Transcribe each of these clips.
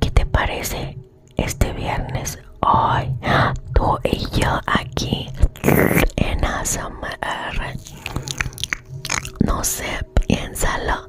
¿Qué te parece este viernes hoy? Tú y yo aquí en ASMR. No sé, piénsalo.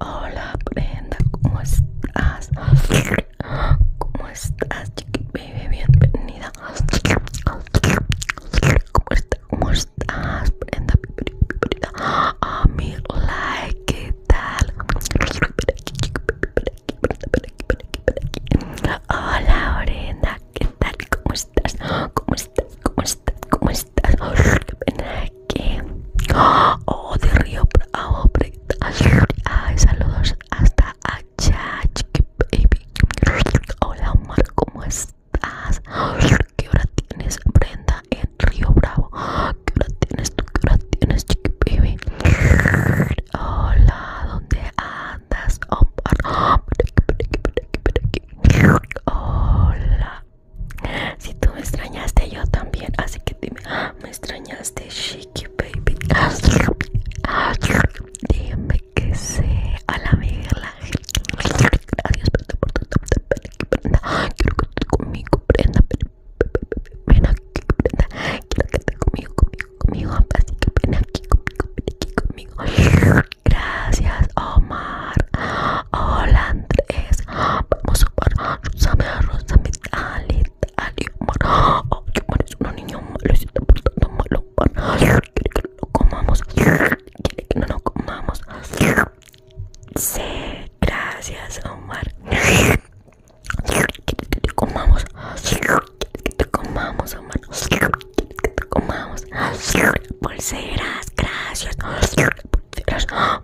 Hola Brenda, ¿cómo estás? ¿Cómo estás, Bienvenida. ¿Cómo estás? ¿Cómo estás, ah, ¿Qué tal? Hola Brenda, ¿qué tal? ¿Cómo estás? ¿Cómo estás? ¿Cómo estás? ¿Cómo aquí. Oh, de Río Bravo. Ay, saludos hasta allá. Baby. Hola, Omar, ¿cómo estás? ¿Qué hora tienes, Brenda, en Río Bravo? ¿Qué hora tienes tú? ¿Qué hora tienes, chiqui baby? Hola, ¿dónde andas, Omar? Hola, si tú me extrañaste, yo también. Así que dime, ah, me extrañaste, Shiki Baby. Dime que sé a la gracias Adiós, perdón por todo, Quiero que estés conmigo, prenda. Ven aquí, prenda. Quiero que estés conmigo, conmigo, conmigo. Así que ven aquí, conmigo, ven aquí, conmigo. Gracias, Omar. Hola, Andrés. Vamos Rosa sabe arroz, sabe Oh, un niño malo se está portando malo. Quiere que no lo comamos, quiere que no lo comamos. gracias, Omar. Quiere que te comamos, quiere que te comamos, Omar. Quiere que te comamos. gracias.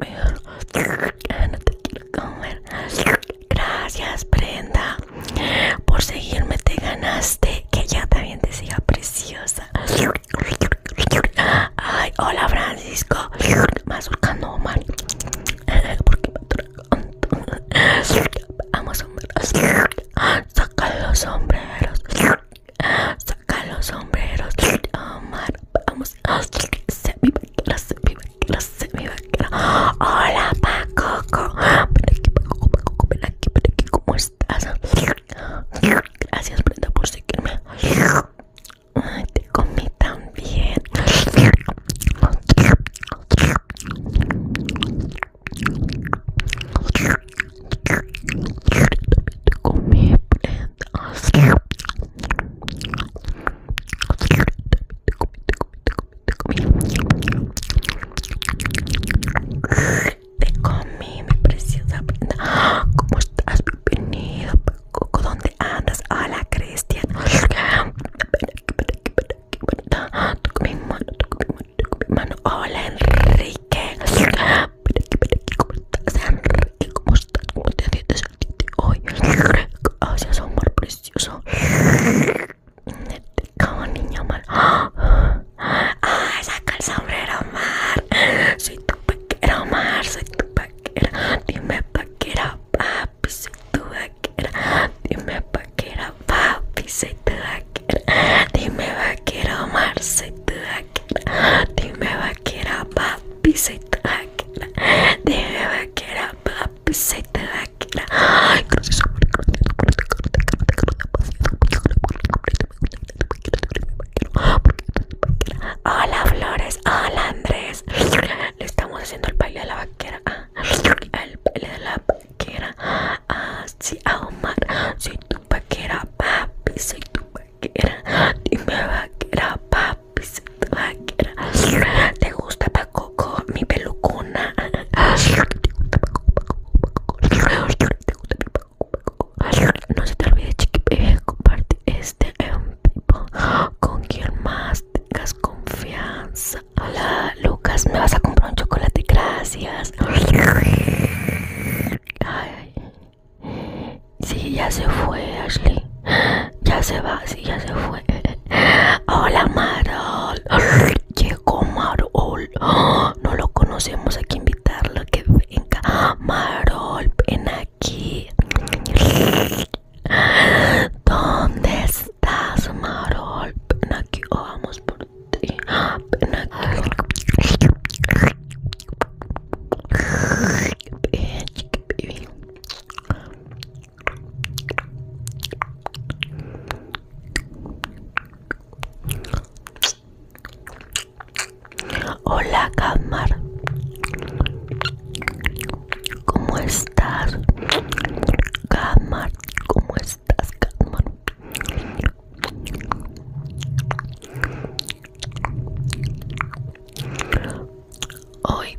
No te quiero comer. Gracias, Brenda, por seguirme. Te ganaste que ya también te siga preciosa. Ay, hola, Francisco. Más no, Omar. Porque Vamos a Saca los sombreros. Saca los sombreros. Omar, vamos. Se vive, se vive mi Hola, Paco. Ven aquí, pacoco ven aquí, estás? Gracias, Brenda, por seguirme. te comí también. También te comí, Brenda. Te comí, te te te Te comí, comí, comí comí, mi preciosa ¿Cómo estás? Bienvenido. ¿Dónde andas? Hola, Cristian. Ah, toco mi mano, toco mi mano, toco mi mano. Hola, Enrique. ¿Cómo estás, Enrique? Como ¿cómo estás? ¿Cómo te sientes hoy día de hoy? Gracias, amor precioso. Como niño mal. ¡Ay, saca el sombrero, Omar! Soy tu paquera Omar. Soy tu paquera Dime paquera papi. Soy tu paquera Dime paquera papi. Soy tu paquera Dime paquera Omar. Soy tu paquera Dime paquera papi. Soy tu vaquera. Dime vaquera. Hola, Flores. Hola, Andrés. Le estamos haciendo el baile de la vaquera. el baile de la vaquera. Ah, sí, a Omar. Soy tu vaquera, papi. Soy tu vaquera. Dime, vaquera, papi. ¿Te gusta Pacoco? Mi pelucona No se te olvide chiqui eh, Comparte este Con quien más tengas confianza Hola Lucas, me vas a comprar un chocolate Gracias Ay, Sí, ya se fue, Ashley. Ya se va, sí, ya se fue. Hola, Marol. Llegó Marol. No lo conocemos, hay que invitarlo que venga. Marol, ven aquí. ¿Dónde estás, Marol? Ven aquí oh, vamos por ti. Ven aquí. Hola, Camar, ¿Cómo estás? Camar, ¿cómo estás, Camar? Hoy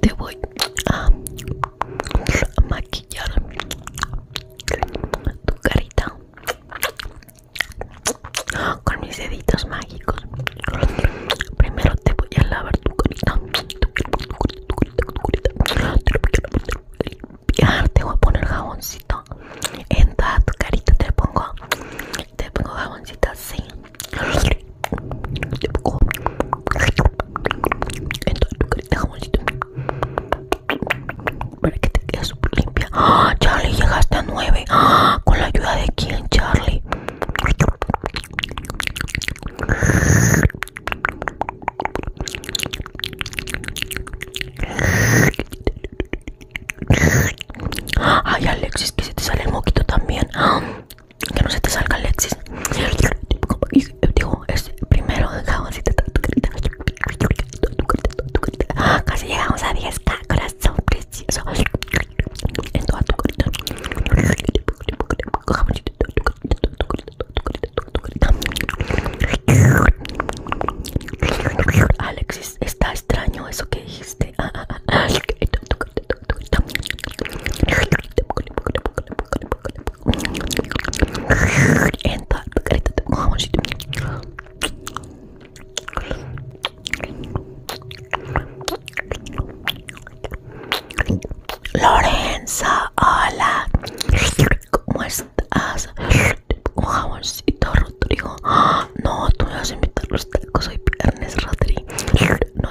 te voy a maquillar tu carita con mis deditos mágicos. Primero te voy a lavar tu carita. Te voy a poner jaboncito en tu carita. Te pongo, te pongo jaboncito así. Te en te para que te quede súper limpia. ¡Ah, Charlie, llegaste a nueve ¡Ah! ¿Con la ayuda de quién, Charlie? Ay, Alexis, que se te sale el moquito también. ¡Ah! que no se te salga Alexis. Digo, es primero dejamos y te tu Casi llegamos a 10k, corazón precioso. En Alexis, está extraño eso que dijiste. Ah, ah, ah hola, ¿cómo estás? te estás? Lorenza, hola. ¿Cómo estás? Jamoncito Rodrigo. ¡Ah! No, tú me vas a los tacos Rodrigo. No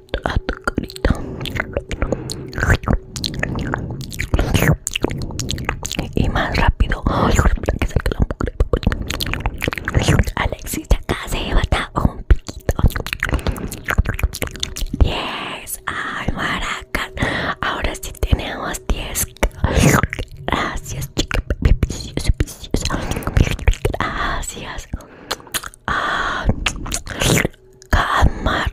y más rápido Alexis ya casi lleva un piquito Yes. ay maracas ahora sí tenemos 10 gracias chica gracias ah, Camar.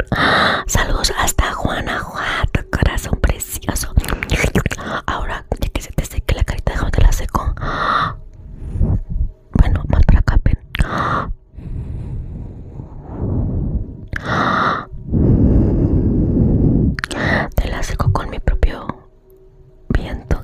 saludos hasta Guanajuato, corazón precioso. Ahora, ya que se te seque la carita, déjame te la seco. bueno, más para acá, ven. te la seco con mi propio viento.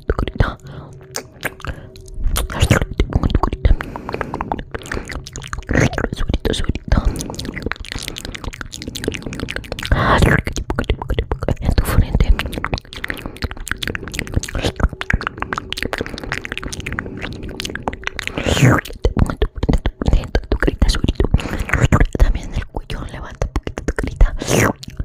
corita, tu corita. Te pongo tu corita. Su corita, En tu frente. Te pongo tu frente, tu carita, También el cuello, levanta un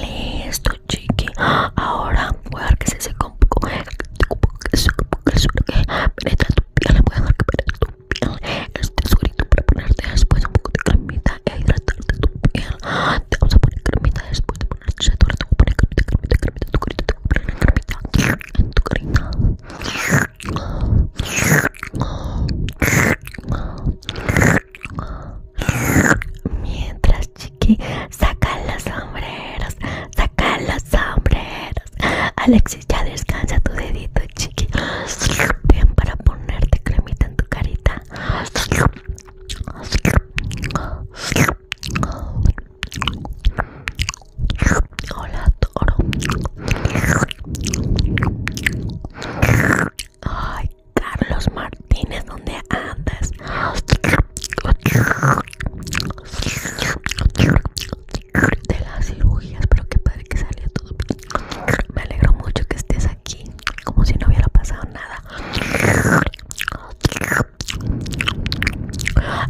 Listo, chiqui. Ahora voy a dejar que se seque un poco. Penetra tu piel, voy a dejar que penetre tu piel. Este suelito para ponerte después un poco de cremita e hidratarte tu piel. Te vamos a poner cremita después de a tu carita, en tu carita. Mientras, chiqui, saca las sombreras, saca las sombreros. Alexis, ya descansa tu dedito, chiqui. Bien para ponerte cremita en tu carita. Hola, toro. Ay, Carlos Martínez, ¿dónde andas? De las cirugías, pero que padre que salió todo bien. Me alegro mucho que estés aquí, como si no hubiera pasado nada.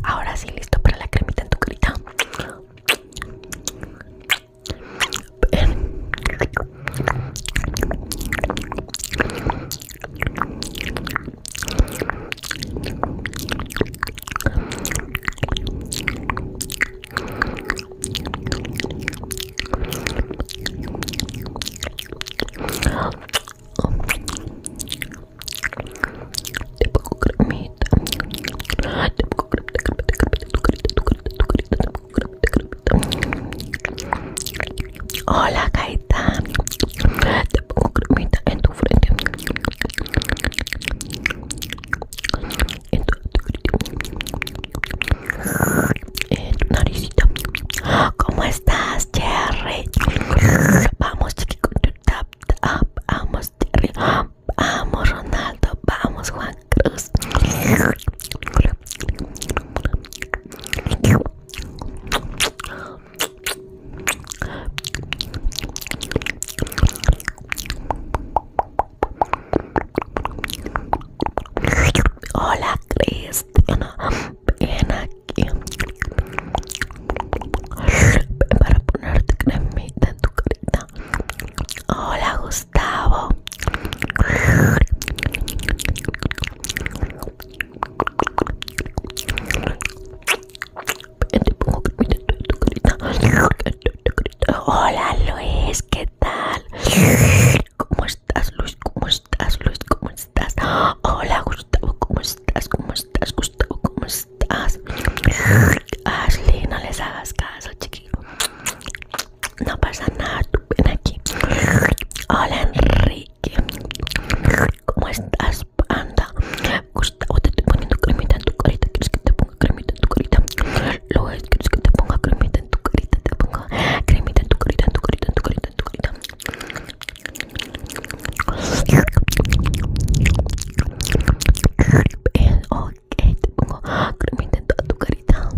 Ahora sí, listo para la cremita en tu carita. Te pongo cremita. Te pongo cremita, tu carita, te Hola, Te pongo cremita en tu frente. En tu, en tu eh, ¿Cómo estás, Jerry? Vamos, chiquito. Tap, tap. Vamos, Jerry. Vamos, Ronaldo. Vamos, Juan Cruz. Hola, Cristiano ven aquí para ponerte cremita en tu carita. Hola, Gustavo. Ven, te pongo cremita en tu carita. Hola, Luis, ¿qué tal? ¿Cómo estás, Luis? ¿Cómo ¿Cómo estás, Luis? ¿Cómo estás? Hola, Gustavo, ¿cómo estás? ¿Cómo estás, Gustavo? ¿Cómo estás? Ashley, no les hagas caso, chiquito, No pasa nada, tú ven aquí. Hola, Enrique. ¿Cómo estás, Anda. Gustavo, te estoy poniendo cremita en tu carita. ¿Quieres que te ponga cremita en tu carita? Luis, ¿quieres que te ponga cremita en tu carita? Te pongo cremita en tu carita, en tu carita, en tu carita carita. Ok, te pongo cremita en tu carita.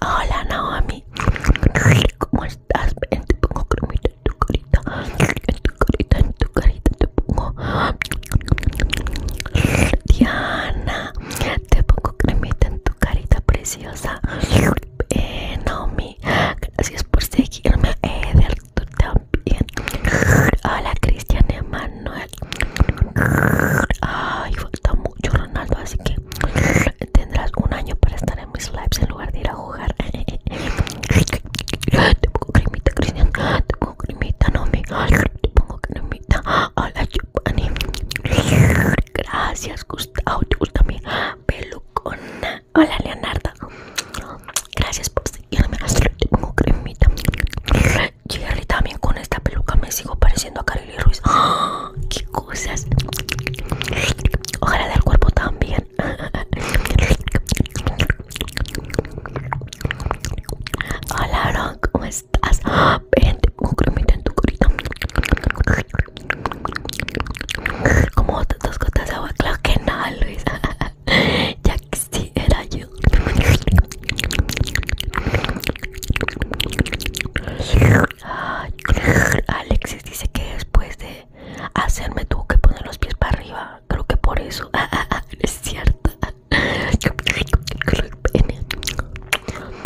Hola Naomi, ¿cómo estás? te pongo cremita en tu carita, en tu carita, en tu carita te pongo. Diana, te pongo cremita en tu carita preciosa. Gracias, eh, Naomi gracias por seguirme Eder eh, tú también hola Cristian Emanuel ay falta mucho Ronaldo así que tendrás un año para estar en mis lives en lugar de ir a jugar te pongo cremita Cristian te pongo cremita Naomi te pongo cremita hola Giovanni Gracias, Gustavo. también. Pelucona. Hola, Leonardo. Gracias por seguirme. pongo cremita. Jerry también con esta peluca me sigo pareciendo a Carly Ruiz. ¡Ah! ¡Qué cosas! Ojalá del cuerpo también. Hola, Rock, ¿cómo estás? Ven, pongo cremita en tu carita. Como dos gotas de agua, claro que no, Luis. ya que sí era yo. Alexis dice que después de hacerme tuvo que poner los pies para arriba. Creo que por eso es cierto.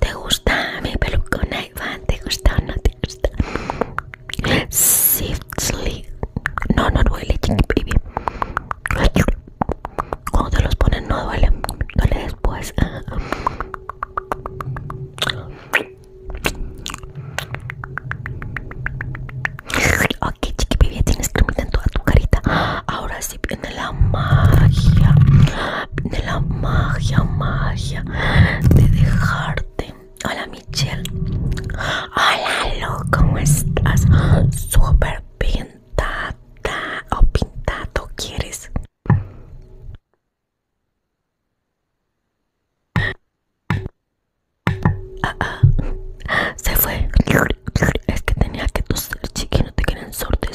¿Te gusta mi con Iván? ¿Te gusta o no te gusta? Siftly. No, no duele, chiqui baby. Cuando te los ponen no duele. Duele después. Ok, chiqui baby, tienes cremita en toda tu carita. Ahora sí viene la magia, viene la magia, magia de dejarte. Hola Michelle. Hola loco, ¿cómo estás? Súper pintada o pintado quieres. Ah, ah, se fue. Es que tenía que chiqui, no te quieren sortear.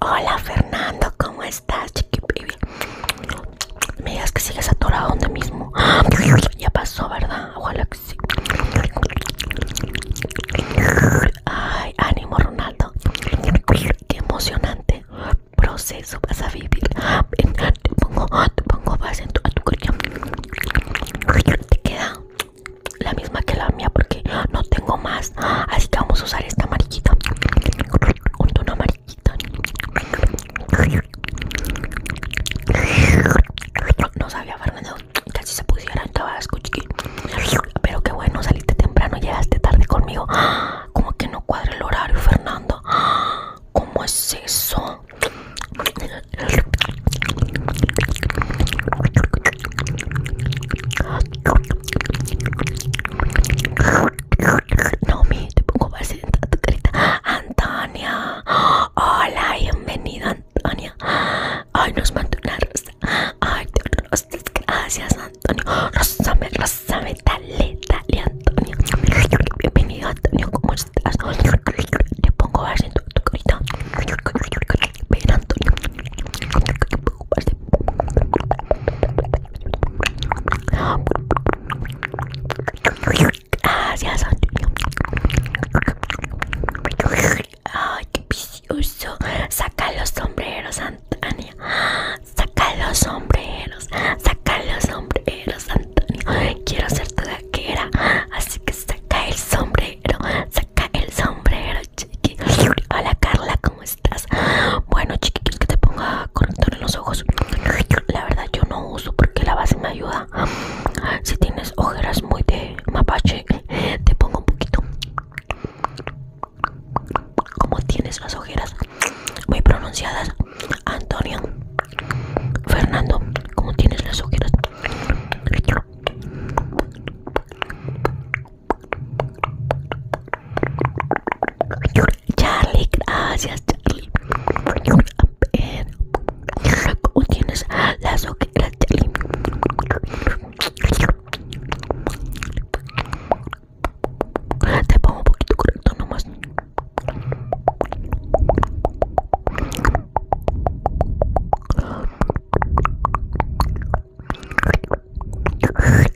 Hola Fernando, ¿cómo estás, chiqui baby? Me digas que sigues atorado donde mismo. Ya pasó, ¿verdad? Ojalá que sí. Ay, ánimo Ronaldo. Qué emocionante proceso vas a vivir. Te pongo, te pongo vas en tu, a Te queda la misma que la mía porque no tengo más así que vamos a usar esta mariquita una mariquita no sabía Fernando casi se pusiera tabasco escuché pero qué bueno saliste temprano llegaste tarde conmigo como que no cuadra el horario Fernando ¿Cómo es eso? No, mire, te pongo más en tu carita. Antonia. Hola, bienvenida, Antonia. Ay, nos mandó una rosa. Ay, rosas, gracias, Antonio. Rosame, rosame, dale, dale, Antonio. Bienvenido, Antonio, ¿cómo estás? Te pongo más en tu carita. Ven, Antonio. Gracias, Antonio. Ay, qué precioso Saca los sombreros, Antonio. Saca los sombreros. Saca los sombreros, Antonio. Quiero ser tu gaquera. Así que saca el sombrero. Saca el sombrero chiqui. Hola Carla, ¿cómo estás? Bueno, chiqui, que te ponga corrector en los ojos? La verdad, yo no uso porque la base me ayuda. Si tienes ojeras muy de mapache, te pongo un poquito. Como tienes las ojeras muy pronunciadas, Antonio, Fernando, como tienes las ojeras Charlie, gracias Charlie. ¿Cómo tienes las ojeras, Charlie? Te pongo un poquito correcto nomás.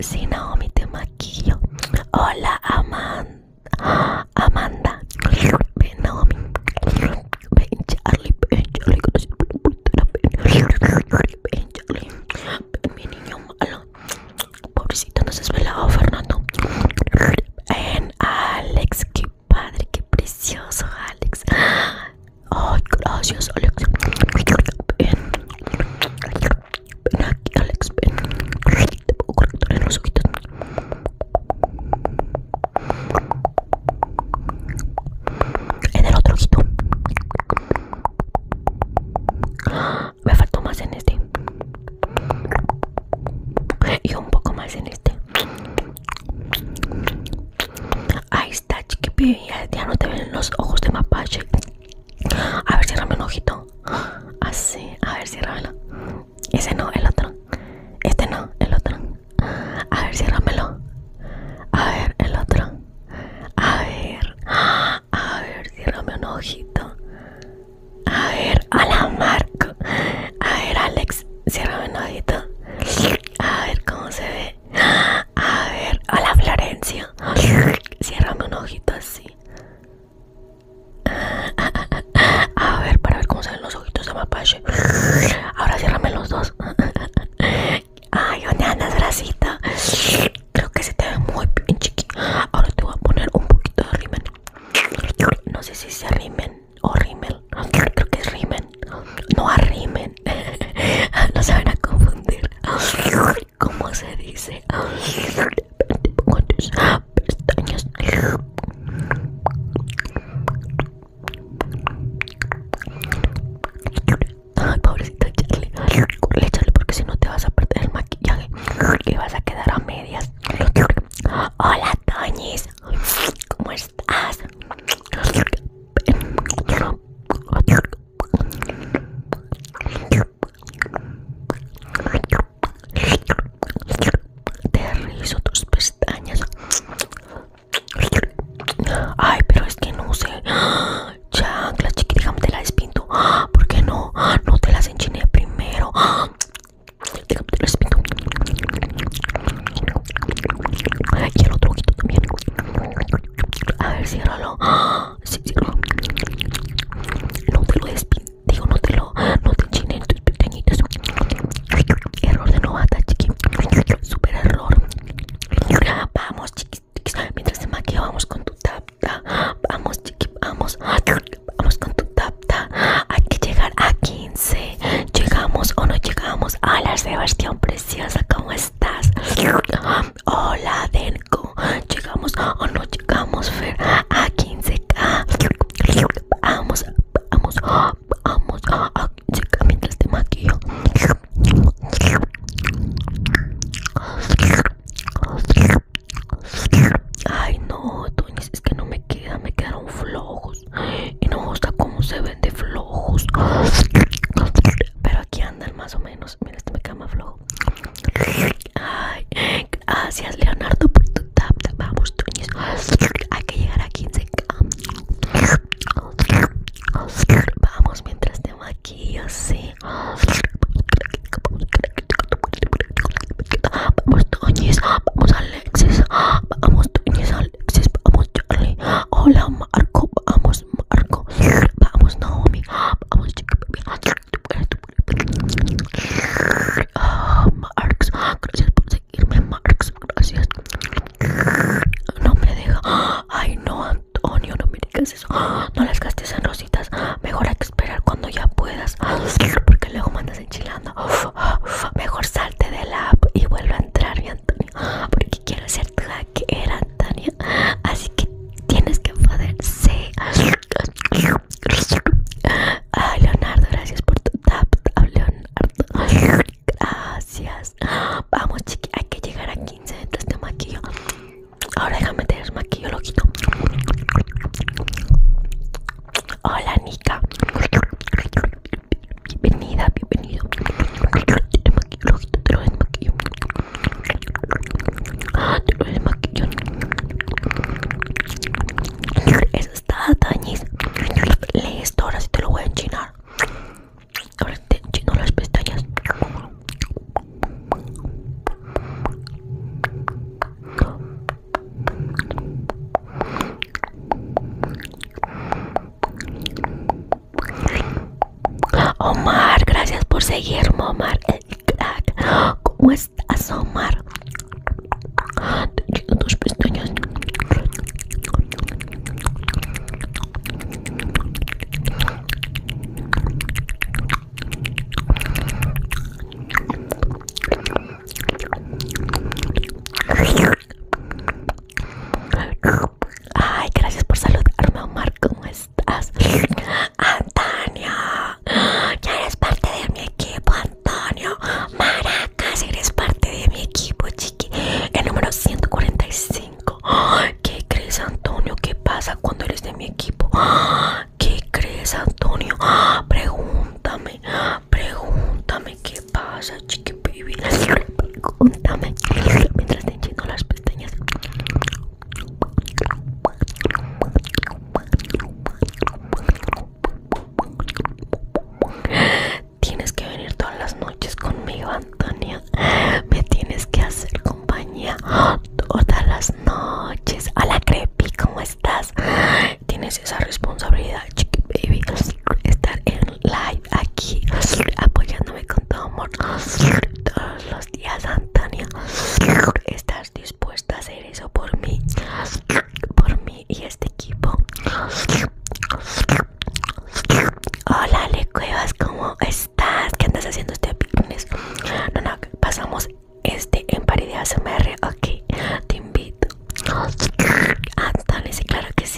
Si Naomi te maquillo. Hola, Amanda. Amanda. Ven, Naomi Ven, Charlie. Ven, Charlie. Ven, Charlie. Ven, mi niño malo. Pobrecito, no nos desvelado, Fernando. Ven, Alex. Qué padre, qué precioso, Alex. Ay, gracias, Alex. Ven. Ven aquí, Alex. Ven. Te puedo cortar en los ojitos. En el otro ojito. Me faltó más en este. Y un poco más en este. Ahí está, chiquipi. Ya no te ven los ojos de mapache. A ver, ciérrame un ojito. Así, ah, a ver, ciérramelo. Ese no, el otro. Este no, el otro. A ver, ciérramelo. A ver, el otro. A ver. A ver, ciérrame un ojito. A ver, a la Marco. A ver, Alex, ciérrame un ojito. A ver cómo se ve. A ver, a la Florencia. Ciérrame un ojito así. A ver, para ver cómo se ven los ojitos de mapache. Ahora ciérrame los dos. Ay, ¿dónde andas, bracita? Creo que se te ve muy bien, chiquito. Ahora te voy a poner un poquito de rimen. No sé si sea rimen o rímel Creo que es rimen no arrimen, no se van a confundir. ¿Cómo se dice? tus pestañas. Ay, pobrecito Charlie. porque si no te vas a perder el maquillaje y vas a quedar a medias. Hola, Toñis. ¿Cómo estás? Te rizo tus pestañas. Ay, pero es que no sé. Chancla, chiquita, te la despinto. ¿Por no? No te las enchine primero. Déjame te la despinto. Y el otro ojito también. A ver, ciérralo. ¡Ah! Sí, No te lo despido, Digo, no te lo... No te enchinen tus Error de novata, chiqui. Super error. Vamos, chiquis, Mientras se maquilla vamos con tu tapta. Vamos, chiqui, vamos. Vamos con tu tapta. Hay que llegar a 15. Llegamos o no llegamos. A la Sebastián, preciosa. ¿Cómo estás? Hola, Denko. ¿Llegamos o oh, no llegamos, A 15K. Vamos, vamos, vamos. A 15K mientras te maquillo. Ay, no, Tony, es que no me queda. Me quedaron flojos. Y no me gusta cómo se ve de flojos. Pero aquí andan más o menos. Mira, este me cama flojo. Ay, gracias, Leonardo, por tu tap. Vamos, Toñez. Hay que llegar a 15k. Vamos mientras tengo aquí así Vamos, Toñez. Vamos, Alexis. Vamos, Alexis, vamos Charlie, hola Marco, vamos Marco, vamos Naomi, vamos chica, ah, Marx, gracias por seguirme Marx, gracias, no me deja, ay no Antonio, no me digas eso, no las gastes en rositas, mejor hay que esperar cuando ya puedas, porque luego mandas enchilando, mejor salte de la app y vuelve a entrar porque quiero ser tu era Tania. Así que tienes que poder A Leonardo, gracias por tu tap, Leonardo. Gracias. Vamos, chiqui, hay que llegar a 15 dentro de este maquillo. Ahora déjame tener maquillo, loquito Hola, Nika bienvenida, bienvenido. Te lo desmaquillo, te lo desmaquillo. Eso está dañis Le esto ahora sí te lo voy a enchinar. Ahora te enchino las pestañas. Te Omar, gracias por seguirme, Omar, ¿Cómo estás, Omar? Te Tus pestañas. Ay, gracias por saludar, Marco. ¿Cómo estás? Antonio, ya eres parte de mi equipo, Antonio. Maracas, eres parte de mi equipo, chiqui. El número 145. ¿Qué crees, Antonio? ¿Qué pasa cuando eres de mi equipo? ¿Qué crees, Antonio? Pregúntame, pregúntame qué pasa, chiqui baby. mientras te enchico las pestañas. Tienes que venir todas las noches conmigo, Antonia. Me tienes que hacer compañía todas las noches. Hola, Creepy, ¿cómo estás? Tienes esa responsabilidad, chiqui baby, estar en live aquí apoyándome con todo amor todos los días, Antonio. ¿Estás dispuesta a hacer eso por mí? Por mí y este equipo. Hola, le Cuevas, ¿cómo estás? ¿Qué andas haciendo este viernes? No, no, pasamos este en paridad m&r Ok, te invito. Antonio, sí, claro que sí.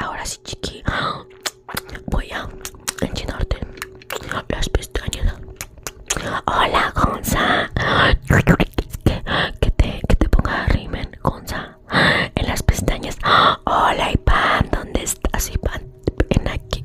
Ahora sí, chiqui. Voy a enchinarte las pestañas. Hola, Gonza. Que, te, ponga rimen, Gonza. En las pestañas. Hola, Ipan ¿Dónde estás, Ipan? En aquí,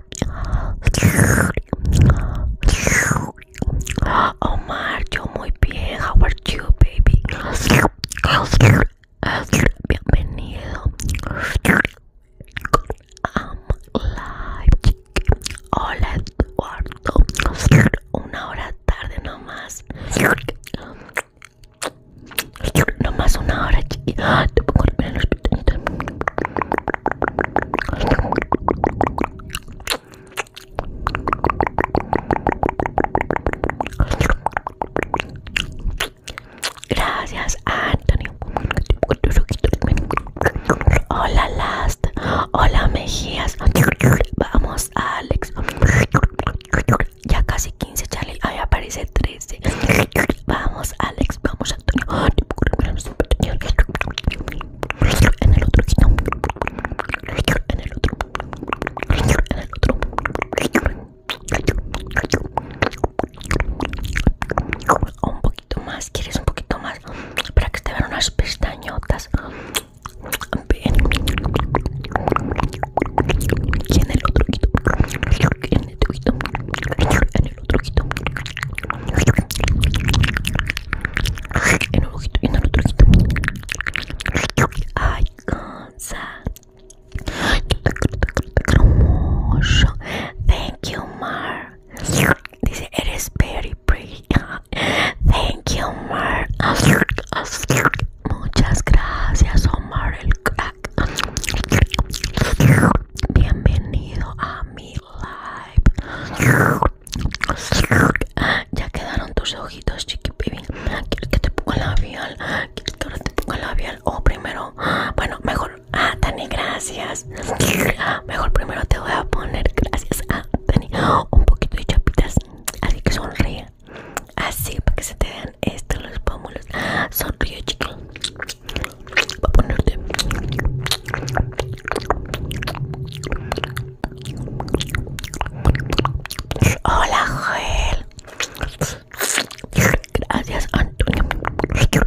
Omar, yo muy bien. How are you, baby? Bienvenido. live. Hola, Eduardo. Una hora tarde nomás. más una hora, chiqui, Te pongo en los Gracias, Antonio. Hola, Last. Hola, Mejías. Vamos, Alex. Ya casi 15, Charlie. Ahí aparece 13. Vamos, Alex vamos Antonio. En Un poquito más, ¿quieres un poquito más? Para que te vean unas pestañotas en el otro En el otro En el el ojito en el ojito y en el otro Ay, thank you Mar dice eres very pretty thank you Mar muchas gracias Omar el crack bienvenido a mi ya quedaron tus ojitos, chiqui baby. ¿Quieres que te ponga labial? ¿Quieres que ahora te ponga labial? O oh, primero, bueno, mejor. Ah, Tani, gracias. Mejor primero te voy a poner, gracias a ah, Dani un poquito de chapitas. Así que sonríe. Así, para que se te vean estos los pómulos. Sonríe, chiqui ponerte Hola Joel Gracias Antonio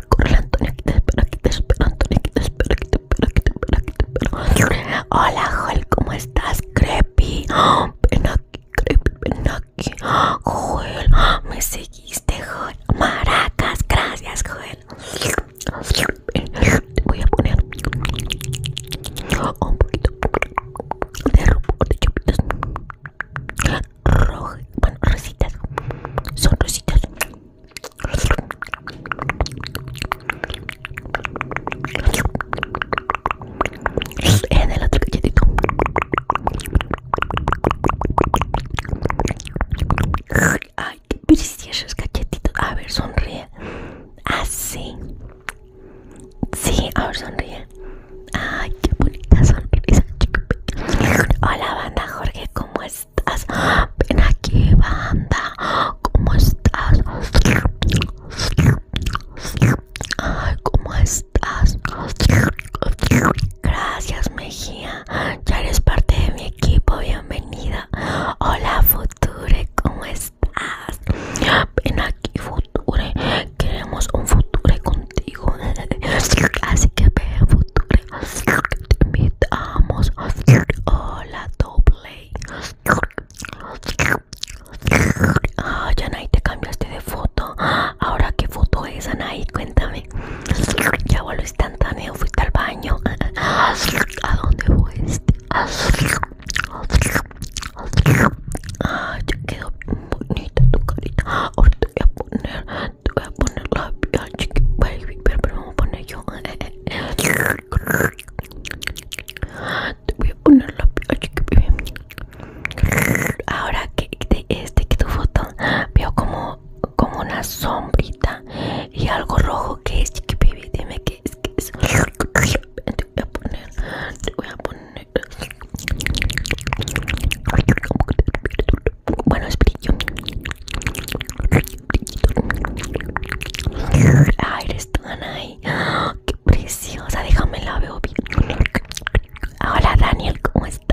Corre Antonio, aquí te espera aquí te espera Antonio, aquí te espera aquí te espera aquí te espera aquí te espera Hola Joel, ¿cómo estás? Creepy Ven aquí, Creepy, ven Joel, me seguiste Joel Maracas, gracias Joel voy a poner un poquito de o de chupitos rojas, bueno, rositas, son rositas. En el otro Ay, qué preciosos cachetitos. A ver, sonríe. Así. Ah, sí, a ver, sonríe. Ay, qué bonita sonrisa. Hola, banda Jorge, ¿cómo estás? Ven aquí, banda. ¿Cómo estás? Ay, ¿cómo estás? Gracias, Mejía ya eres parte de mi equipo, bienvenida. Hola Future, ¿cómo estás? Ven aquí Future, queremos un Future contigo. Así que ven Future, te invitamos. Hola Doble. Ah, Yanay, te cambiaste de foto. Ahora qué foto es Anaí, cuéntame. Ya vuelvo instantáneo, fui al baño. ¿A dónde fuiste? Ah, ya quedó bonita tu carita. Ahora te voy a poner, te voy a poner la piel chiqui baby, pero vamos a poner yo. Te voy a poner la piel chiqui baby. Ahora que este que tu foto veo como como, una sombrita y algo rojo que es chiqui baby dime que es que es te voy a poner voy a poner bueno es brillo ahí qué preciosa déjame la veo bien hola Daniel cómo estás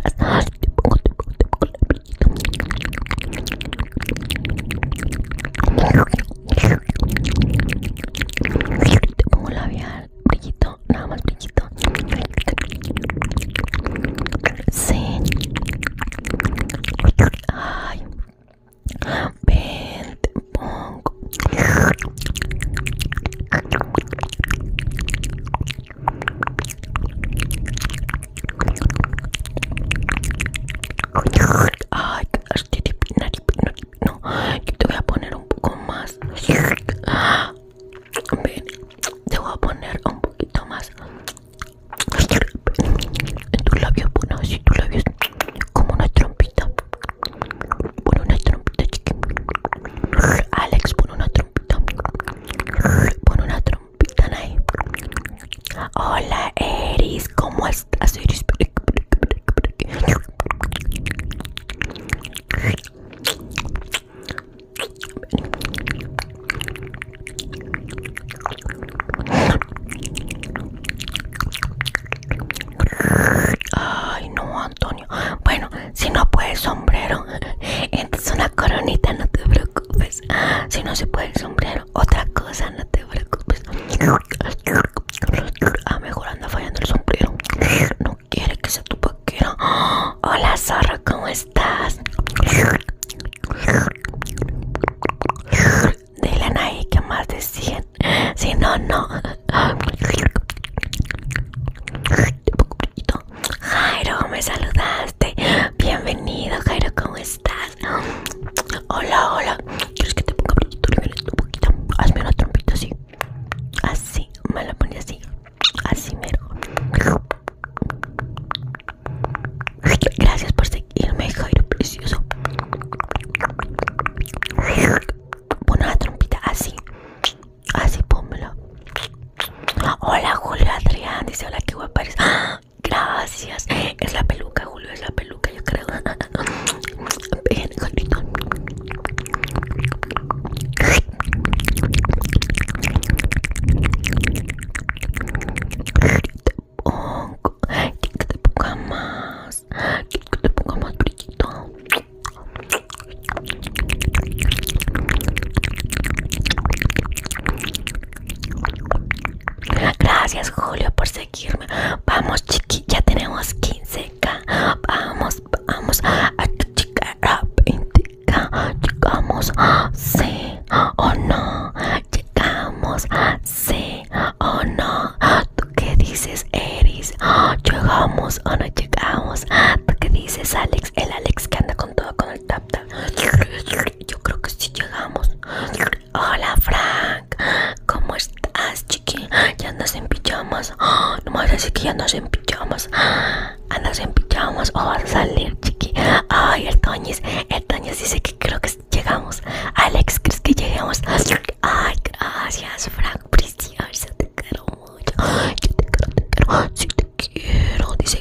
te pongo labial, brillito, nada más brillito. Sí. Ay. Ven, te pongo. Ay, no, yo te voy a poner un poco más. te voy a poner un poquito más en tus labios, bueno, así tus labios, como una trompita. Pon una trompita, chiqui. Alex, pon una trompita. Pon una trompita. Hola Eris, ¿cómo estás Eris? Ay, no, Antonio. Bueno, si no puedes sombrero, entonces una coronita, no te preocupes. Si no se puede el sombrero, otra cosa, no te preocupes. Ah, mejor anda fallando el sombrero. No quiere que sea tu paquero Hola, zorro, ¿cómo estás? Dile a nadie que más decían. Si no, no. Jairo, me saludaste. Bienvenido, Jairo, ¿cómo estás? Hola, hola. ¿Quieres que te ponga brillito un poquito? Hazme una trompita así. Así, me la pones así. Así mero. Gracias por seguirme, Jairo, precioso. Pon una trompita así. Así, pónmela. Hola, Julio Adrián. Dice, hola, qué guapa ¡Ah! Gracias. Es la peluca, Julio, es la peluca, yo creo. Ven Julito. que te ponga más. Que te ponga más brillito. Gracias Julio por seguirme. Vamos chiqui, ya tenemos 15k. Vamos, vamos a chica a 20k. Llegamos, sí o no. Llegamos, sí o no. ¿Tú qué dices, Eris? Llegamos o no llegamos. ¿Tú qué dices, Alex? El Alex que anda con todo con el tap tap yo creo que sí llegamos. Hola, Frank. ¿Cómo estás, chiqui? Ya andas en pijamas. me no más así que ya andas en pijamas. Andas en pijamas o vas a salir, chiqui. Ay, el Toñis. El Toñis dice que creo que llegamos. Alex, ¿crees que llegamos? Ay, gracias, Frank. Precioso, te quiero mucho. Yo te quiero, te quiero. si te quiero. Dice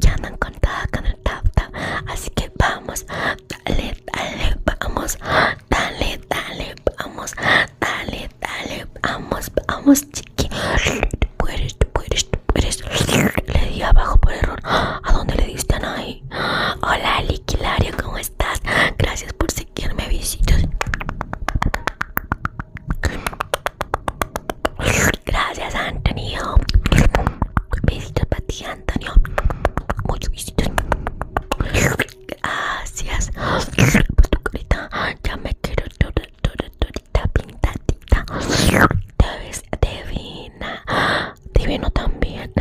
ya andan contadas con el tap así que vamos dale dale vamos dale dale vamos dale dale vamos vamos chiqui tú puedes tú puedes tú puedes le di abajo por error a dónde le diste a nadie hola liquilario cómo estás gracias por seguirme visitos Gracias, Antonio. Besitos para ti, Antonio. Muchos besitos. Gracias. tu Ya me quiero todo, todo pintadita. Te ves divina. Divino también.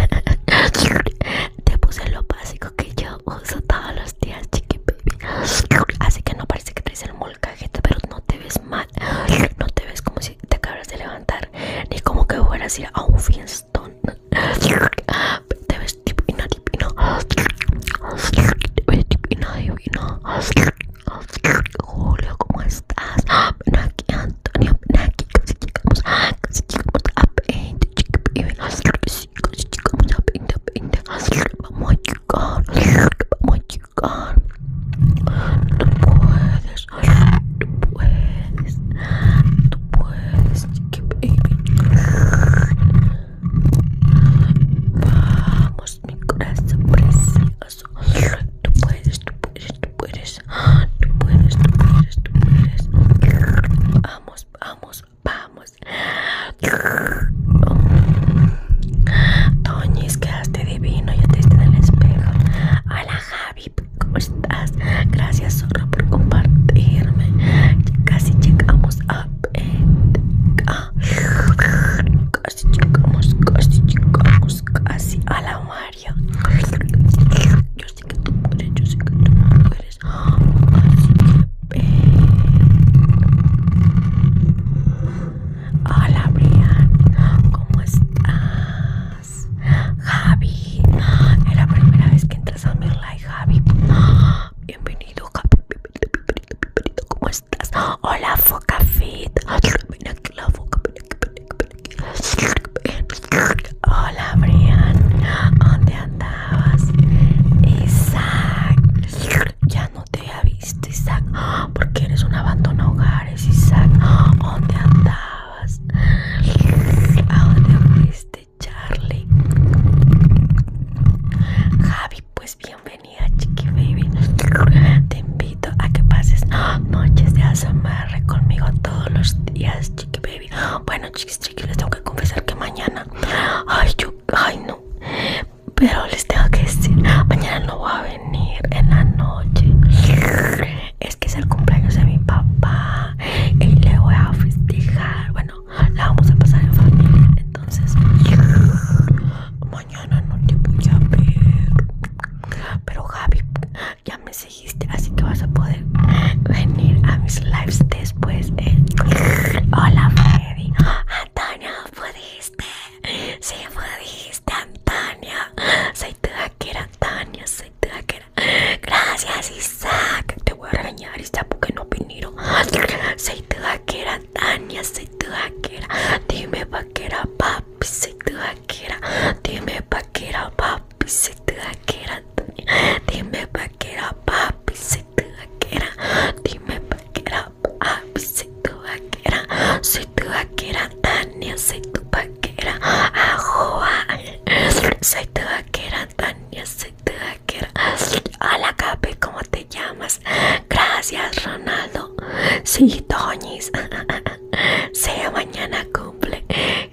Te puse lo básico que yo uso todos los días, chiqui Así que no parece que traes el mundo cajeta, pero no te ves mal. No te ves como si te acabas de levantar, ni como que fueras a ir a un fiestón. Te ves divino, divino. divino, divino. Julio, ¿cómo estás? Ven aquí, Antonio, ven aquí. Casi llegamos, casi llegamos a 20. Casi Vamos, vamos Tú puedes, tú puedes, tú puedes, Vamos, mi corazón precioso. puedes, tú tú puedes, tú puedes, tú puedes. Vamos, vamos, vamos. Toñis, quedaste divino, ya te estás en el espejo. Hola Javi, ¿cómo estás? Gracias Zorro por compartirme. Casi llegamos a... Ah. Casi llegamos, casi llegamos, casi. a la Mario. Yo sé que tú puedes, yo sé que tú puedes. Hola Brian, ¿cómo estás? Javi, es la primera vez que entras a mi live, Javi. Bienvenido, Javi. ¿Cómo estás? Hola Foca Fit. Ven aquí la foca, Hola Brian, ¿dónde andabas? Isaac, ya no te había ¿Viste, Isaac? Porque eres un abandono hogares, Isaac. ¿Dónde andabas? ¿A dónde fuiste, Charlie? Javi, pues bienvenida, chiqui baby. Te invito a que pases noches de ASMR conmigo todos los días, chiqui baby. Bueno, chiquis, chiquis, les tengo que confesar que mañana. Ay, yo, ay, no. Pero les tengo que decir, mañana no voy a venir en la noche. Es que es el cumpleaños de mi papá y le voy a festejar. Bueno, la vamos a pasar en familia. Entonces, mañana no te voy a ver. Pero Javi, ya me seguiste, así que vas a poder venir a mis lives después. Hola, Freddy. Antonio, ¿puedes? fuiste, sí fuiste, Antonia. Soy tu vaquera, Antonia, soy tu vaquera. Gracias, Isaac. Te voy a regañar, Isaac, porque no vinieron. Soy tu vaquera, Antonia, soy tu vaquera. Dime, vaquera, papi, soy tu vaquera. Dime, vaquera, papi, soy tu vaquera, Antonia. Dime, vaquera, papi, soy tu vaquera. Dime, vaquera, Soy tu vaquera, soy tu vaquera, Tania, soy tu vaquera, ajoa. Soy tu vaquera, Tania, soy tu vaquera. Hola, Capi, ¿cómo te llamas? Gracias, Ronaldo. Sí, Toñis. sea mañana cumple.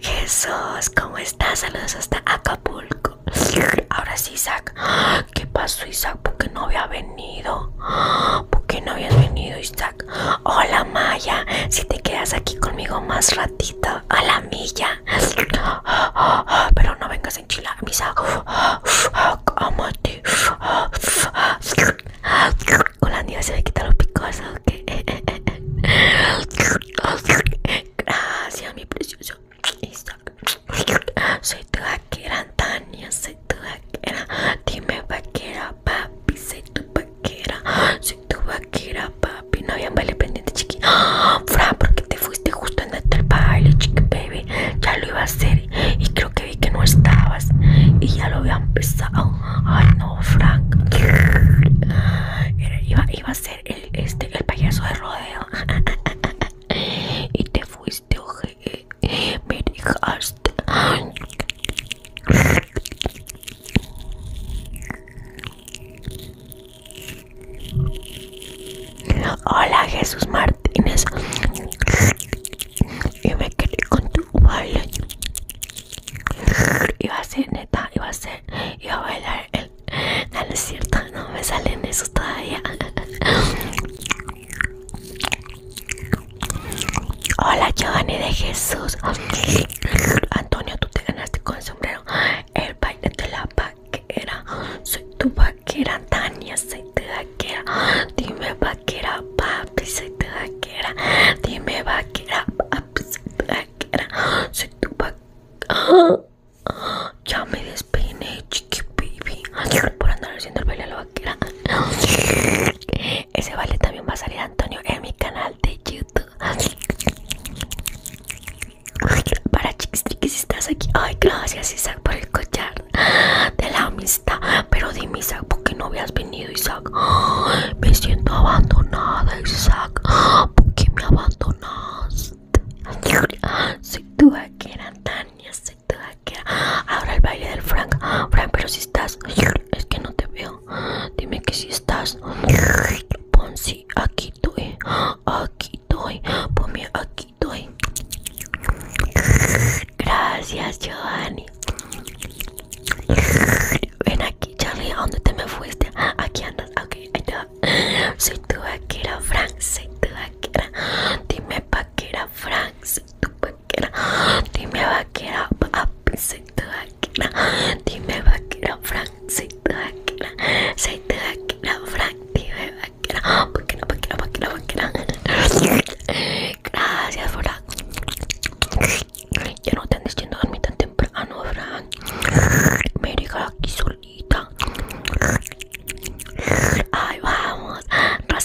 Jesús, ¿cómo estás? Saludos hasta Acapulco. Ahora sí, Isaac. ¿Qué pasó, Isaac? ¿Por qué no había venido? ¿Por qué no habías venido, Isaac? Hola, Maya. Si te quedas aquí conmigo más ratito, a la milla. Pero no vengas en Chile, Isaac. Amate. Con la niña se me quita los picos, Gracias, mi precioso. Isaac. Soy tu vaquera, Tania, soy tu vaquera. Dime vaquera, papi, soy tu vaquera. Soy tu vaquera, papi. No había un baile pendiente, chiqui. Fran, porque te fuiste justo en el baile, chiqui, baby. Ya lo iba a hacer y creo que vi que no estabas. Y ya lo había empezado. Ay, no, Frank. iba, a ser el, este, el payaso de rodeo. y te fuiste, oje me dejaste. Hola Jesús Martínez. Y me quedé con tu baile. Iba a ser neta, iba a ser, iba a bailar el. No, no cierto, no me salen esos todavía. Hola Giovanni de Jesús. Antonio, tú te ganaste con el sombrero. El baile de la vaquera. Soy tu vaquera, Tania, soy tu vaquera. Dime vaquera, papi, soy tu vaquera. Dime vaquera, papi, soy tu vaquera. Soy tu vaquera. Ya me despeiné, por andar haciendo el baile a la vaquera. Ese baile también va a salir Antonio en mi canal de YouTube. Para chiquis, chiquis, si estás aquí. Ay, gracias Isaac por el collar de la amistad. Pero dime Isaac, ¿por qué no habías venido Isaac? Me siento abandonada Isaac. ¿Por qué me abandonaste? Soy tu vaquera Tania, soy Ahora el baile del Frank. Frank, pero si estás. Es que no te veo. Dime que si estás. Pon si aquí estoy. Aquí estoy. Ponme aquí estoy. Gracias, Giovanni. Ven aquí, Charlie. ¿A dónde te me fuiste? Aquí andas. Ok, ahí te va. Soy tu vaquera, Frank. Soy tu vaquera. Dime era Frank tu dime vaquera, a soy Frank, tu dime vaquera, Gracias, Frank. no te andes a dormir tan temprano, Frank. Me dijo aquí solita. Ay, vamos.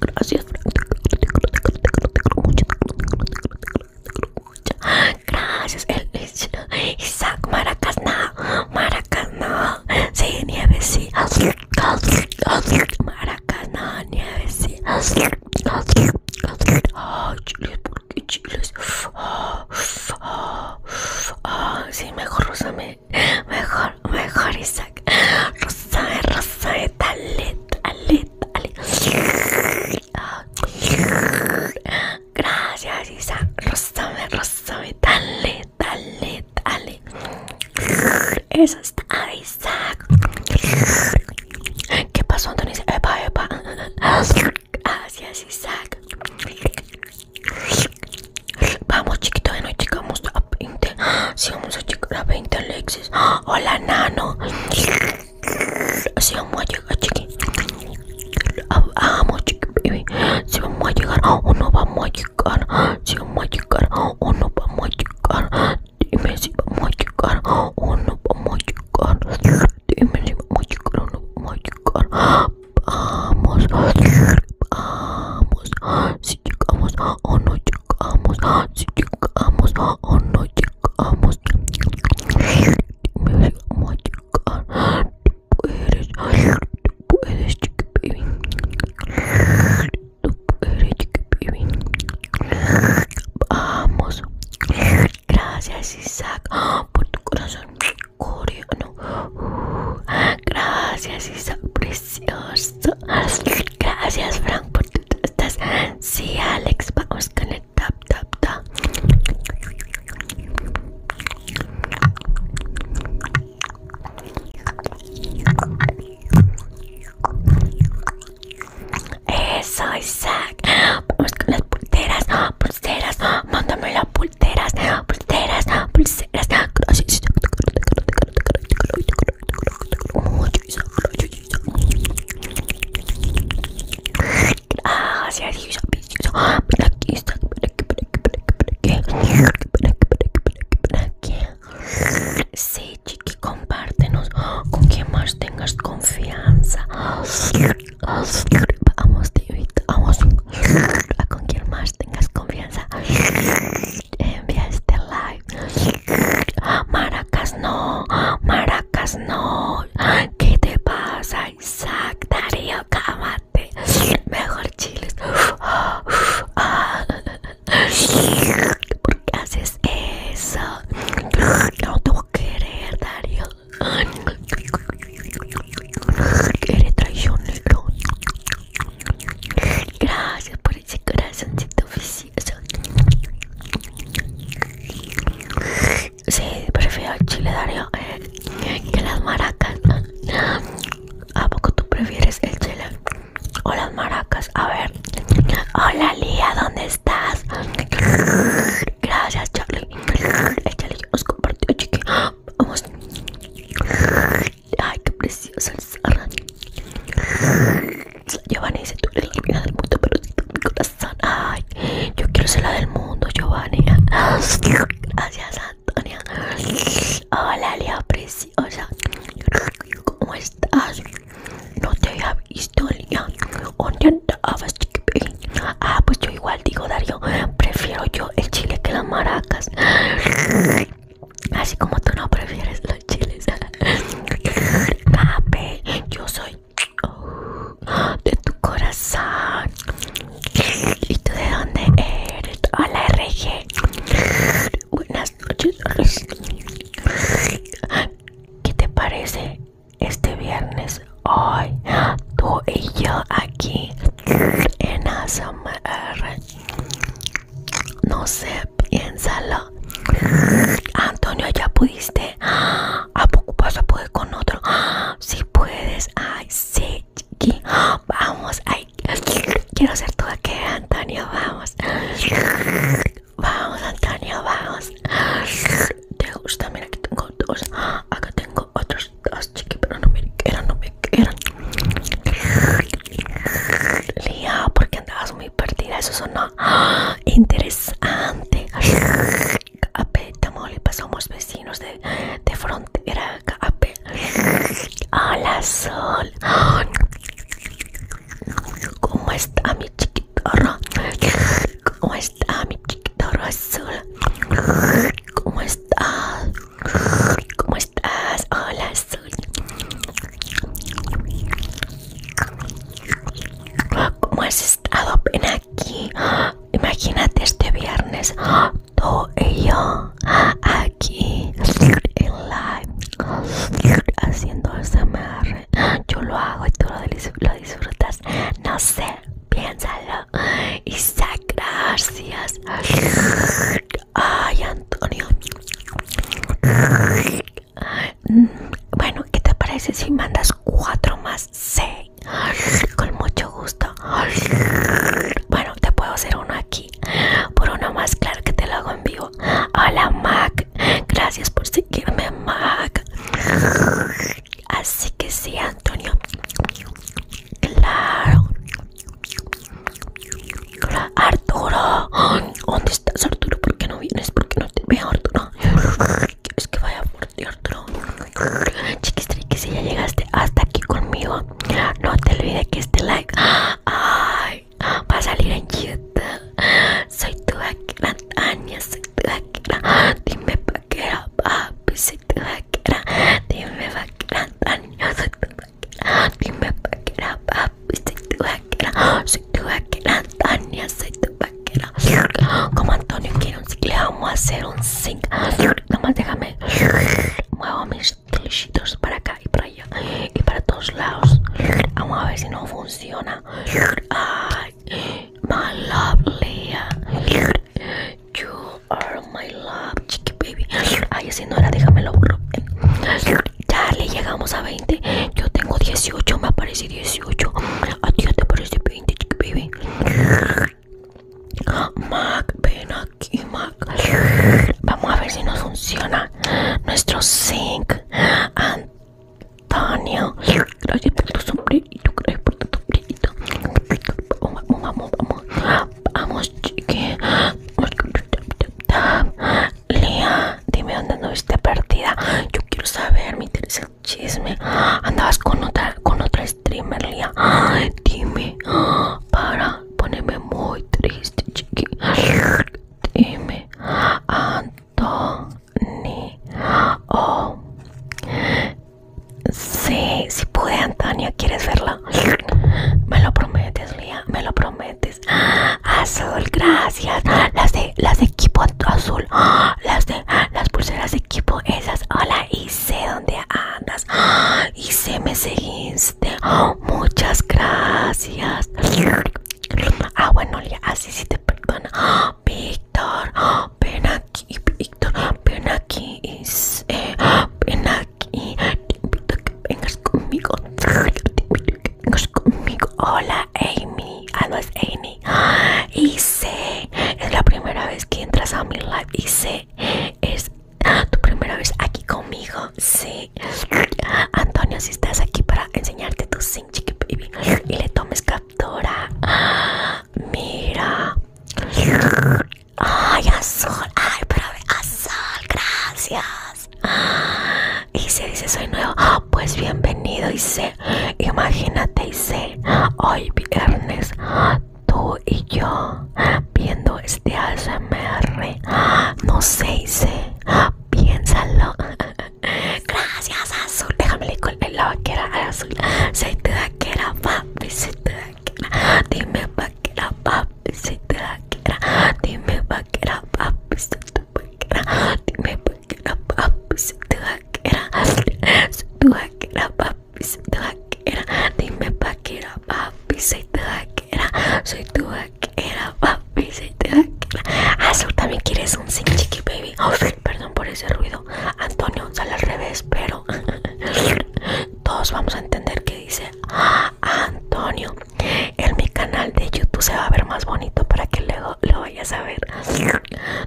Gracias, Gracias, el Isaac Maracas, no, Sí, nieve, sí. Maracas, nieve, sí. chiles, chiles? Sí, mejor, Rosame. Mejor, mejor, Isaac. Rosame, Rosame. Dale, dale, Gracias, Isaac Rosame, rosame, dale, dale, dale. Eso está, Isaac. ¿Qué pasó, Epa, epa. Gracias, Isaac. Vamos, chiquito, de noche, vamos. 20. vamos a llegar a 20, Alexis. Hola, nano. si vamos a llegar, chiqui. Vamos, chiqui, baby. vamos a llegar o no vamos a llegar. si vamos a llegar o no vamos a llegar. Dime si vamos a llegar o no vamos a llegar. Dime si vamos a llegar o no vamos a llegar. Vamos, vamos. si llegamos o no llegamos, si llegamos o no llegamos, me vamos a llegar, tú puedes, tú puedes, chiqui baby, tú puedes, chiqui baby, vamos, gracias Isaac por tu corazón coreano, gracias Isaac, Gracias, Frank, por tus estas. Sí, Alex, vamos con el tap tap tap Eso, Isaac. Vamos con las pulteras, pulseras. Mándame las pulteras, pulseras, pulseras. Gracias, aquí, aquí, Sí, chiqui, compártenos con quien más tengas confianza. Vamos, te vamos a con quien más tengas confianza envía este like. Maracas no, maracas no. ¿Qué te pasa, Isaac? Darío, cámate. Mejor chiles. ¿Por qué haces eso? No te voy a querer, Darío. Eres traicionero. Gracias por ese tu visita Sí, prefiero el chile dario eh, que las maracas. ¿A poco tú prefieres el chile o las maracas? A ver. Hola Lía, ¿dónde estás? Gracias Charlie. El chile nos compartió, chiqui. Vamos. Ay, qué preciosa el Giovanni dice, tú eres la del mundo, pero mi corazón. Ay, yo quiero ser la del mundo, Giovanni. Gracias, Antonia. Hola, Lía preciosa. ¿Cómo estás? No te había visto, Lía. ¿Dónde andabas, Ah, pues yo igual digo, Darío. Prefiero yo el chile que las maracas. Así como tú no prefieres los chiles. Papi, yo soy de tu corazón. ¿Y tú de dónde eres? Hola, RG. Buenas noches. ¿Qué te parece este viernes? Hoy, tú y yo aquí en ASMR no sé, piénsalo. Antonio, ya pudiste. ¿A poco vas a poder con otro? Si puedes. Ay, sí, chiqui. Vamos, ay. Quiero hacer todo aquí, Antonio. Vamos. Vamos, Antonio, vamos. ¿Te gusta? Mira, aquí tengo dos. Acá tengo otros dos, chiqui, pero no me quedan, no me quedaron Lía, porque andabas muy partida, eso sonó interesante. somos vecinos de, de frontera. a Hola, Sol. ¿Cómo está mi chiquitoro ¿Cómo está mi chiquitoro azul? ¿Cómo estás? ¿Cómo estás? Hola, Sol. ¿Cómo has estado? Ven aquí. Imagínate este viernes, tú y yo aquí en live haciendo SMR. Yo lo hago y tú lo disfrutas. No sé, piénsalo. Isaac, gracias. Ay, Antonio. Mm, bueno, ¿qué te parece si mandas 4 más 6 Con mucho gusto. Bueno, te puedo hacer uno aquí. Por uno más, claro que te lo hago en vivo. Hola, Mac. Gracias por seguirme, Mac. Así que sí, Antonio. Claro. Arturo, ¿dónde estás, Arturo? ¿Por qué no vienes? ¿Por qué no te veo, Arturo? ¿Quieres que vaya por ti, Arturo? que si ya llegaste hasta aquí conmigo, no te olvides que este like va a salir en YouTube. Soy tu vaquera, Tania, soy tu vaquera. Dime pa' era papi, soy tu vaquera. Dime vaquera, Tania, soy tu vaquera. Dime pa' era papi soy tu vaquera, soy tu vaquera, Tania, soy tu vaquera. Como Antonio quiere un Le vamos a hacer un zinc. Nomás déjame, muevo mis clichitos para acá y para allá y para todos lados. Vamos a ver si no funciona. Ay, my love, Lea You are my love, chiqui baby. Ay, si no era, déjamelo. Dale, llegamos a 20. Yo tengo 18, me aparece 18. A ti ya te aparece 20, baby. Mac, ven aquí, Mac. Vamos a ver si nos funciona nuestro zinc. Antonio, gracias por tu sombrito, gracias por tu sombrito Vamos, vamos, vamos. Vamos, chique. Lía, dime dónde anduviste partida, Yo quiero saber, me triste el chisme. Andabas con otra, con otra streamer, Lía, Dime, para ponerme muy triste, chiqui. Dime, Antoni. Oh. Sí, si puede, pude, Antonia, ¿quieres verla? Me lo prometes, Lía, me lo prometes. Azul, gracias. Las de las de equipo azul. Las de las pulseras de equipo esas. Hola, y sé dónde andas. Y sé me seguiste. Muchas gracias. Ah, bueno, así sí te perdono Víctor, ven aquí. Víctor, ven aquí. ven aquí. Te invito que vengas conmigo. Te Hola, Amy. Ah, es Amy. Y es la primera vez que entras a mi live. Y sé, es tu primera vez aquí conmigo. Sí. Antonio, si estás aquí para enseñarte tu sing, baby. Y le tomes captura. Mira. Ay, azul. Ay, pero azul. Gracias. Y se dice soy nuevo, pues bienvenido y sé, imagínate y hoy viernes tú y yo viendo este ASMR, no sé y sé, piénsalo. Gracias azul, déjame le colgar la vaquera al azul, si te da vaquera papi, si te vaquera, dime vaquera papi, Si te vaquera, dime vaquera papi, si te vaquera. Dime pa' que era papi se te vaquera. Soy tu vaquera, papi se te vaquera. Dime pa' que era papi se te vaquera. Soy tu vaquera, papi se te vaquera. Azul ah, también quieres un sin chiqui baby. Oh, perdón por ese ruido. Antonio sale al revés, pero todos vamos a entender que dice Antonio en mi canal de YouTube se va a ver más bonito para que luego lo vayas a ver.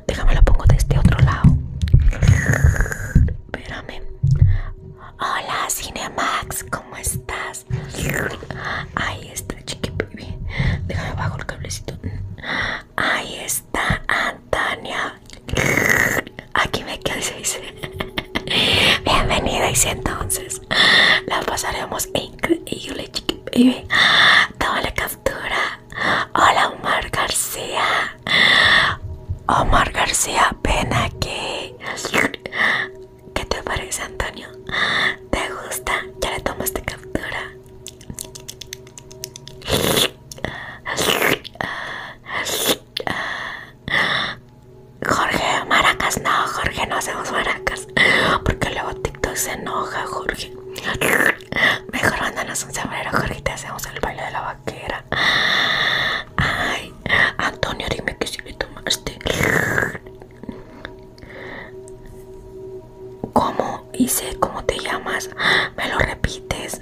Déjame lo pongo de este otro lado. Espérame. Hola Cinemax, ¿cómo estás? Ahí está, chiqui Déjame bajo el cablecito. Ahí está Antonia. Aquí me quedé, Bienvenida, y entonces. La pasaremos y yo le chiqui baby. Toma la captura. Hola Omar García. Omar García, ven aquí. ¿Qué te parece Antonio? ¿Te gusta? Ya le esta captura. Jorge Maracas, no, Jorge, no hacemos maracas. Porque luego TikTok se enoja, Jorge. Mejor a un sombrero, Jorge, te hacemos el baile de la vaquera. Ay, Antonio, dime que si le tomaste. ¿Cómo hice? ¿Cómo te llamas? Me lo repites.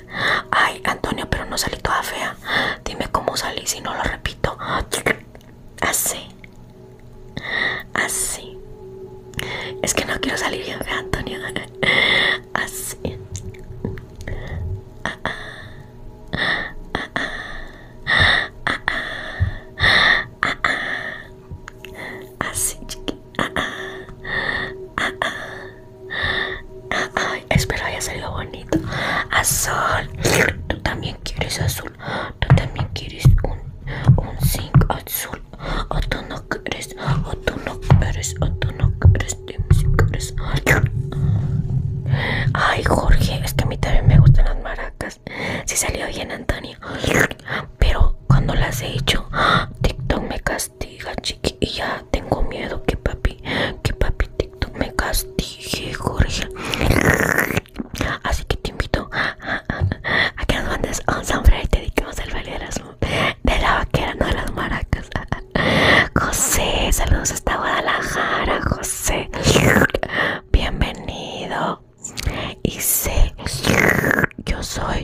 Ay, Antonio, pero no salí toda fea. Dime cómo salí si no lo repito. Así. Así. Es que no quiero salir bien, Antonio. Así. Así, chiqui. espero haya salido bonito. Azul, tú también quieres azul. Tú también quieres un un zinc azul o tú no crees o tú no no ay Jorge es que a mí también me gustan las maracas si salió bien Antonio pero cuando las he hecho TikTok me castiga chiqui y ya tengo miedo que papi que papi TikTok me castigue Jorge Así que te invito a que nos mandes un sombrero y te dediquemos el baile de, de la vaquera, no de las maracas. José, saludos hasta Guadalajara, José. Bienvenido. Y sé, yo soy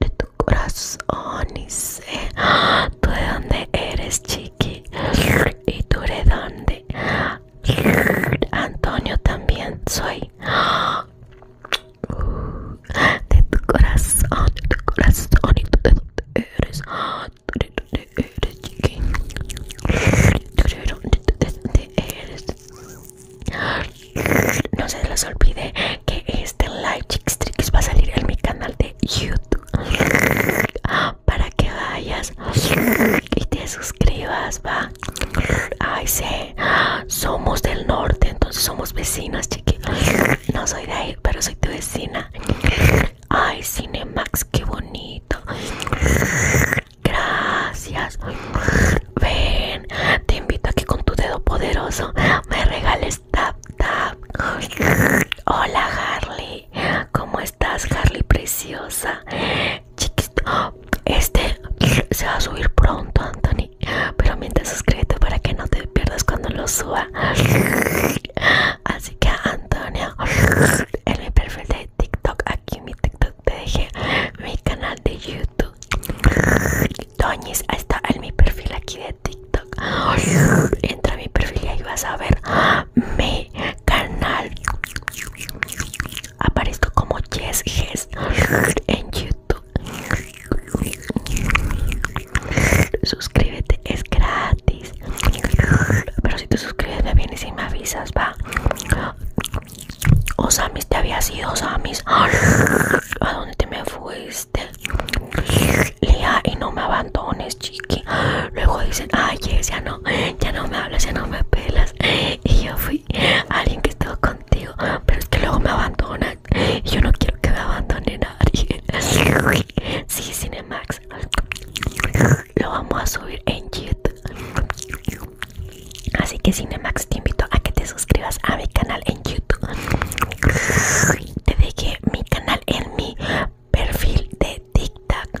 de tu corazón. Y sé, tú de dónde eres, chiqui. Y tú de dónde. Antonio también soy de tu corazón, de tu corazón y tú de dónde eres, tú de No se les olvide que este live Chicks Tricks va a salir en mi canal de YouTube para que vayas y te suscribas, va. Ay, sí. Somos del norte, entonces somos vecinas, chiqui. No soy de ahí, pero soy tu vecina. Ay, Cinemax, qué bonito. Gracias. Ven, te invito aquí con tu dedo poderoso me regales tap tap. Hola Harley, ¿cómo estás Harley preciosa? Este se va a subir pronto, Anthony. Pero mientras suscríbete para que no te pierdas cuando lo suba. Así que, Antonio, en mi perfil de TikTok, aquí en mi TikTok te dejé mi canal de YouTube. ahí está en mi perfil aquí de TikTok. Entra a mi perfil y ahí vas a ver me canal. Aparezco como Yes Yes en YouTube. Suscríbete, es gratis. Pero si te suscribes, me vienes y me avisas, va. Osamis, te había sido Osamis. ¿A dónde te me fuiste? Lía, y no me abandones, chiqui. Luego dicen, ay, ya no, ya no me hablas, ya no me pelas. Y yo fui alguien que estuvo contigo, pero es que luego me abandonan y yo no quiero que me abandone nadie. Sí, Cinemax, lo vamos a subir en YouTube. Así que Cinemax te invito a que te suscribas a mi canal en YouTube. Te dejé mi canal en mi perfil de TikTok.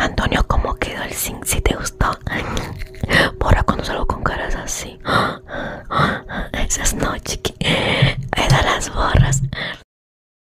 Antonio, ¿cómo quedó el zinc? Si te gustó, ahora cuando salgo con caras así, esas no, chiqui, da las borras.